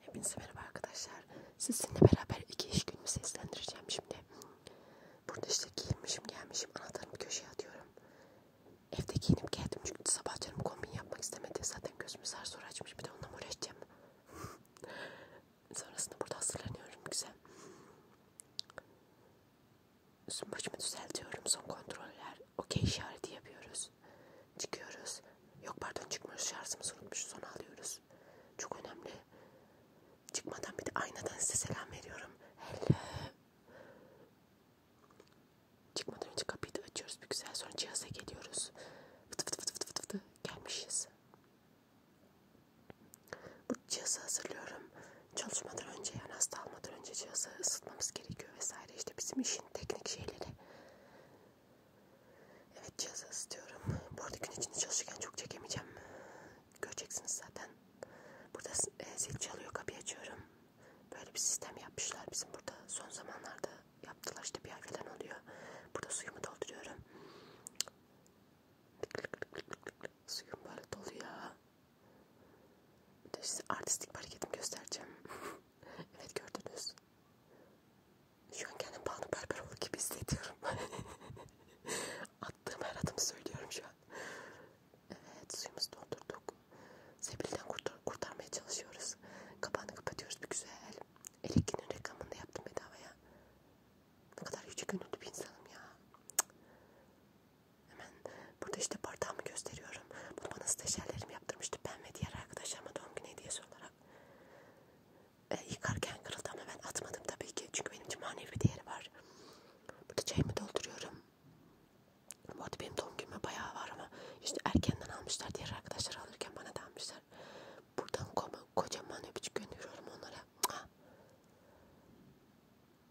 Hepinize merhaba arkadaşlar. Sizinle beraber iki iş günümü seslendireceğim şimdi. Burada işte giyinmişim gelmişim. Anahtarımı köşeye atıyorum. Evde giyinip geldim çünkü sabah canım kombin yapmak istemedi. Zaten gözümü zar zor açmış. Bir de onunla uğraşacağım. Sonrasında burada hazırlanıyorum. Güzel. Üstüm başımı düzeltiyorum. Son kontroller. Okey işareti yapıyoruz alıyoruz. Çıkıyoruz. Yok pardon çıkmıyoruz. Şarjımızı unutmuşuz. Onu alıyoruz. Çok önemli. Çıkmadan bir de aynadan size selam veriyorum. Hello. Çıkmadan önce kapıyı da açıyoruz. Bir güzel sonra cihaza geliyoruz. Fıtı fıtı fıtı fıtı fıtı gelmişiz. Bu cihazı hazırlıyorum. Çalışmadan önce yani hasta almadan önce cihazı ısıtmamız gerekiyor vesaire. İşte bizim işin teknik şeyleri. Evet cihazı ısıtıyorum. Bu arada gün içinde çalışırken çok çekemeyeceğim. Göreceksiniz zaten. Burada e, zil çalıyor kapıyı açıyorum. Böyle bir sistem yapmışlar bizim burada. Son zamanlarda yaptılar işte bir ay falan oluyor. Burada suyumu dolduruyorum. Suyum böyle doluyor. Size artistik bir hareketim göstereceğim. Evet gördünüz. Şu an kendim Banu Berberoğlu gibi hissediyorum. Attığım her adımı söylüyorum şu an. Evet suyumuzu doldurduk. Sebil'den kurtar kurtarmaya çalışıyoruz. Kapağını kapatıyoruz bir güzel. Elektrinin reklamını da yaptım bedavaya. Ne kadar yüce gönüllü bir insanım ya. Cık. Hemen Burada işte bardağımı gösteriyorum. Bunu bana stajyerlerim yaptırmıştı. Ben ve diğer arkadaşlarıma doğum günü hediyesi olarak. E, yıkarken kırıldı ama ben atmadım tabii ki. Çünkü benim için manevi bir değeri var. Burada çayımı dolduruyorum. Bu arada benim doğum günüme bayağı var ama işte erkenden almışlar. Diğer arkadaşlar alırken bana da almışlar. Buradan kocaman öpücük gönderiyorum onlara.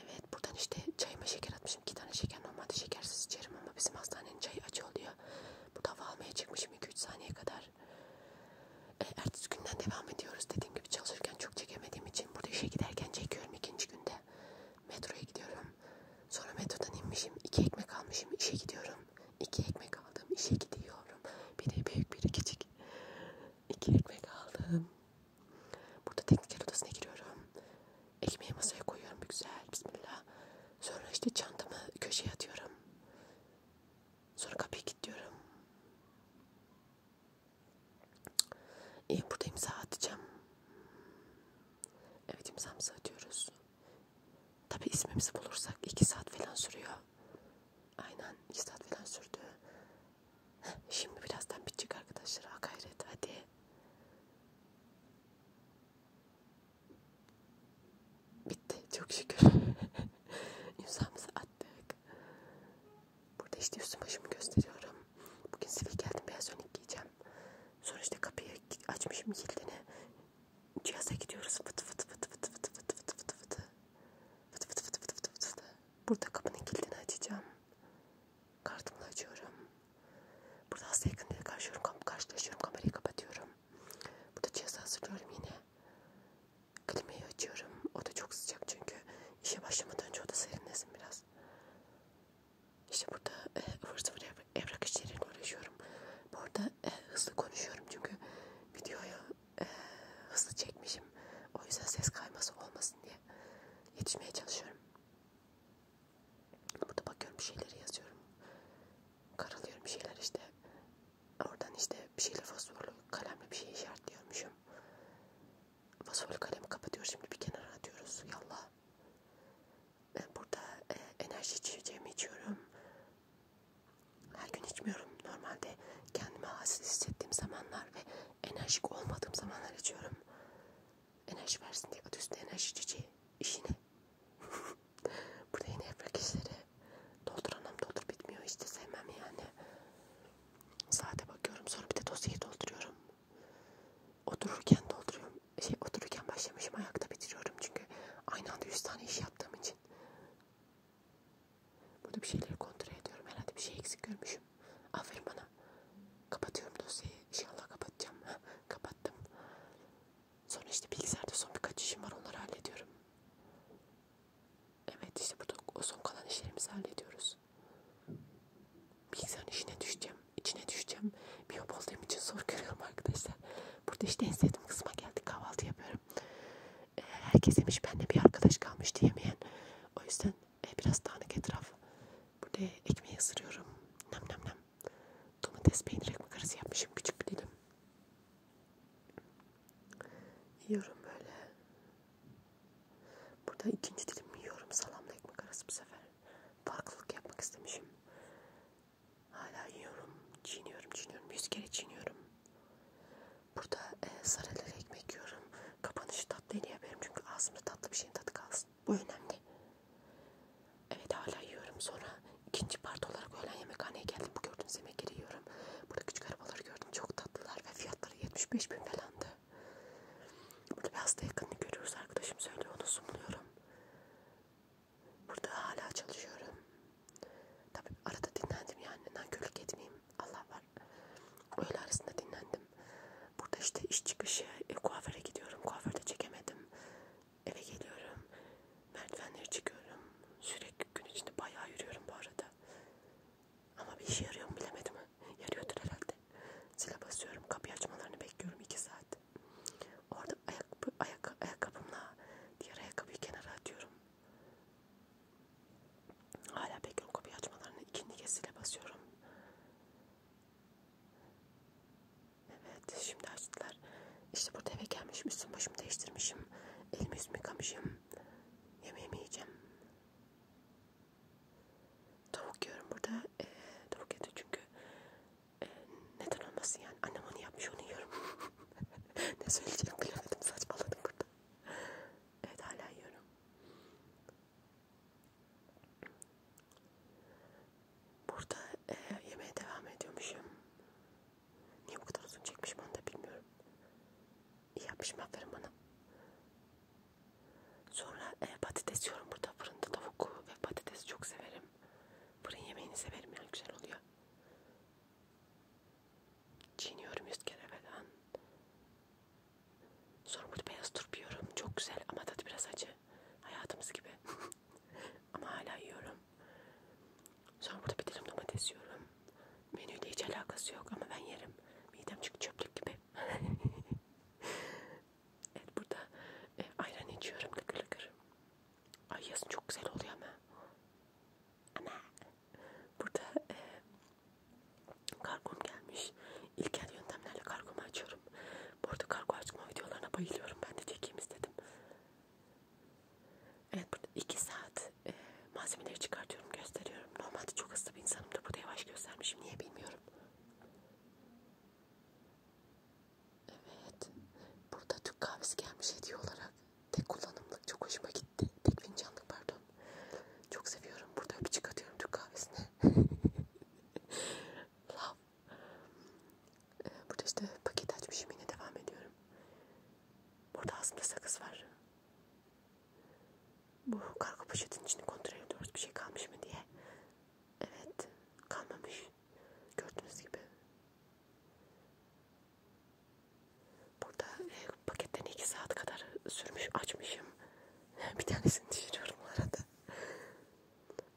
Evet buradan işte çayıma şeker atmışım. iki tane şeker normalde şekersiz içerim ama bizim hastanenin çayı acı oluyor. Burada hava almaya çıkmışım 2-3 saniye kadar. E, ertesi günden devam ediyoruz. Dediğim gibi çalışırken çok çekemediğim için burada işe giderken çekiyorum ikinci günde. Metroya gidiyorum. Sonra metrodan inmişim. iki ekmek almışım. işe gidiyorum. iki ekmek aldım. işe gidiyorum. Bir de büyük bir küçük. iki ekmek aldım. Burada tekniker odasına giriyorum. Ekmeği masaya koyuyorum güzel. Bismillah. Sonra işte çantamı köşeye atıyorum. Sonra kapıyı kilitliyorum. Ee, burada imza atacağım. Evet imzamızı atıyoruz. Tabi ismimizi bulursak 2 saat falan sürüyor. Aynen 2 saat falan sürdü. Şimdi birazdan bitecek arkadaşlar. Ha gayret hadi. Bitti. Çok şükür. İmzamızı attık. Burada işte üstüm başımı gösteriyorum. Bugün sivil geldim. Beyaz önlük giyeceğim. Sonra işte kapıyı açmışım kilidini. Cihaza gidiyoruz. Fıtı fıtı fıtı fıtı fıtı fıtı fıtı fıtı fıtı fıtı fıtı fıtı fıtı fıtı fıtı Burada kapının kilidini açacağım. Kartımla açıyorum. Burada hasta yakınları karşılaşıyorum, karşılaşıyorum. Kamerayı kapatıyorum. Burada cihazı hazırlıyorum yine. Klimayı açıyorum. O da çok sıcak çünkü. işe başlamadan önce oda serinlesin biraz. İşte burada e, ıvır zıvır evrak, evrak işleriyle uğraşıyorum. Bu arada e, hızlı konuşuyorum çünkü videoyu e, hızlı çekmişim. O yüzden ses kayması olmasın diye diye yetişmeye çalışıyorum. Burada bakıyorum bir şeyleri yazıyorum. Karalıyorum bir şeyler işte. Oradan işte bir şeyler fosforlu kalemle bir şey işaretliyormuşum. Fosforlu kalemi kapatıyor şimdi bir kenara atıyoruz. Yallah. Burada e, enerji içeceğimi içiyorum. Her gün içmiyorum. Normalde kendime hassiz hissettiğim zamanlar ve enerjik olmadığım zamanlar içiyorum. Enerji versin diye adı üstüne enerji çiçeği. İşine. Burada yine yaprak işleri. Doldur anam doldur bitmiyor. Hiç de sevmem yani. Saate bakıyorum sonra bir de dosyayı dolduruyorum. Otururken dolduruyorum. Şey otururken başlamışım ayakta bitiriyorum çünkü aynı anda 100 tane iş yaptığım için. Burada bir şeyleri kontrol ediyorum. Herhalde bir şey eksik görmüşüm. Aferin bana. Kapatıyorum dosyayı. İnşallah kapatacağım. Kapattım. Sonra işte bilgisayarda son birkaç işim var. Onları hallediyorum. Evet işte burada o son kalan işlerimizi hallediyoruz. Bilgisayarın işine düşeceğim. içine düşeceğim. Biyop olduğum için zor görüyorum arkadaşlar. Burada işte en sevdiğim kısma geldik. Kahvaltı yapıyorum. E, herkes demiş benimle bir arkadaş kalmış diyemeyen. O yüzden e, biraz dağınık etraf. Burada ekmeği ısırıyorum. Nem nem nem. Domates peynir ekmek arası yapmışım. Küçük bir dilim. Yiyorum böyle. Burada ikinci dilim yiyorum. Salamla ekmek arası bu sefer. Farklılık yapmak istemişim. Hala yiyorum. Çiğniyorum, çiğniyorum. Yüz kere çiğniyorum. Burada e, sarelere ekmek yiyorum. Kapanışı tatlı hediye yapıyorum. Çünkü ağzımda tatlı bir şeyin tadı kalsın. Bu önemli. Evet hala yiyorum. Sonra ikinci part olarak öğlen yemekhaneye geldim. Bu gördüğünüz yemekleri yiyorum. Burada küçük arabaları gördüm. Çok tatlılar ve fiyatları 75 bin falandı. Burada bir hasta yakınını görüyoruz. Arkadaşım söylüyor. Onu sunuluyorum. Burada hala çalışıyorum. Tabi arada dinlendim yani. Nankörlük etmeyeyim. Allah var. Öğle arasında dinlendim. Burada işte iş çıkışı e, kuaföre gidiyorum. Kuaförde çekemedim. Eve geliyorum. Merdivenleri çıkıyorum. Sürekli gün içinde bayağı yürüyorum bu arada. Ama bir işe yarıyor mu bilemedim. Yarıyordur herhalde. Zile basıyorum. Kapıyı açmalarını bekliyorum 2 saat. Orada ayak, ayak, ayakkabımla diğer ayakkabıyı kenara atıyorum. Hala bekliyorum kapıyı açmalarını. İkinci kez zile basıyorum. Evet şimdi açtılar. İşte burada eve gelmişim. Üstüm başımı değiştirmişim. Elimi yüzümü yıkamışım. Yemeğimi yiyeceğim. Tavuk yiyorum burada. Ee, tavuk yedi çünkü. Ee, neden olmasın yani. Annem onu yapmış onu yiyorum. ne söyleyeceğimi bilemedim. Saçmaladım burada. Evet hala yiyorum. Burada e, yemeğe devam ediyormuşum. Niye bu kadar uzun çekmişim onu da bilmiyorum. İyi yapmışım aferin bana. Sonra e, patates yiyorum burada fırında tavuk ve patatesi çok severim. Fırın yemeğini severim yani güzel oluyor. Çiğniyorum yüz kere falan. Sonra burada beyaz turp yiyorum. Çok güzel ama tadı biraz acı. Hayatımız gibi. ama hala yiyorum. Sonra burada bir dilim domates yiyorum. Menüyle hiç alakası yok ama ben yerim. Midem çünkü çöplük gibi. evet burada e, ayran içiyorum lıkır lıkır. Ay yazın çok güzel oluyor ama. Ama burada e, kargom gelmiş. İlkel yöntemlerle kargomu açıyorum. Bu arada kargo açma videolarına bayılıyorum. Ben de çekeyim istedim. Evet burada 2 saat e, malzemeleri çıkartıyorum gösteriyorum. Normalde çok hızlı bir insanım da burada yavaş göstermişim. Niye bilmiyorum. Evet. Burada Türk kahvesi gelmiş hediye olarak. Tek kullanımlık çok hoşuma gitti. Tek fincanlık pardon. Çok seviyorum. Burada öpücük atıyorum Türk kahvesine. Love. Burada işte paket açmışım yine devam ediyorum. Burada aslında sakız var. Bu kargo poşetin içini kontrol ediyoruz bir şey kalmış mı diye. Evet kalmamış. Gördüğünüz gibi. Burada e, paketten 2 saat kadar sürmüş açmışım. bir tanesini düşürüyorum arada.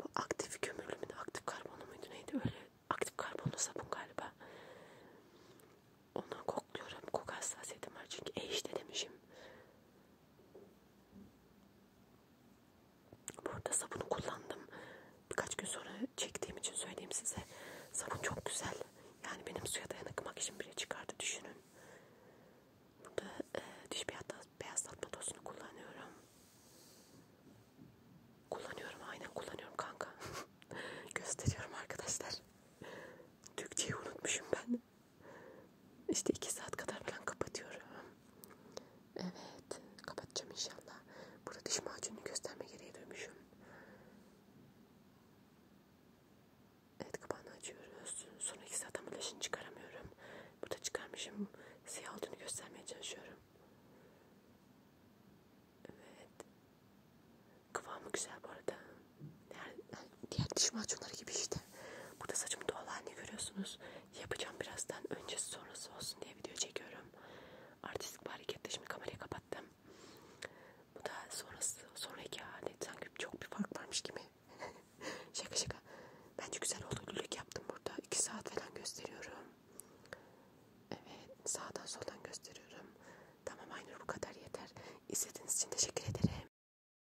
Bu aktif kömürlü müydü, aktif karbonlu muydu neydi öyle aktif karbonlu sabun galiba. Ondan kokluyorum. Koku hassasiyetim var çünkü e işte demişim. Bu arada sabunu kullandım. Birkaç gün sonra çektiğim için söyleyeyim size. Sabun çok güzel. Yani benim suya dayanıklı makyajım bile çıkardı düşünün. Burada e, diş beyazlatma tozunu kullanıyorum. Kullanıyorum aynen kullanıyorum kanka. Gösteriyorum arkadaşlar. Türkçeyi unutmuşum ben. İşte iki saat kadar falan kapatıyorum. Evet. Kapatacağım inşallah. Burada diş macunu gösterme gereği duymuşum. Evet kapağını açıyoruz. Son iki saat ama leşini çıkaramıyorum. Burada çıkarmışım. Siyah olduğunu göstermeye çalışıyorum. Evet. Kıvamı güzel bu arada. Her, Diğer diş macunları gibi işte. Burada saçım doğal halini görüyorsunuz. Yapacağım birazdan. Öncesi sonrası olsun diye video çekiyorum. Artistik bir hareketle şimdi kamerayı kapattım. Bu da sonrası, sonraki hali. Sanki çok bir fark varmış gibi. şaka şaka. Bence güzel oldu. Lülük yaptım burada. 2 saat falan gösteriyorum. Evet. Sağdan soldan gösteriyorum. Tamam aynı bu kadar yeter. İzlediğiniz için teşekkür ederim.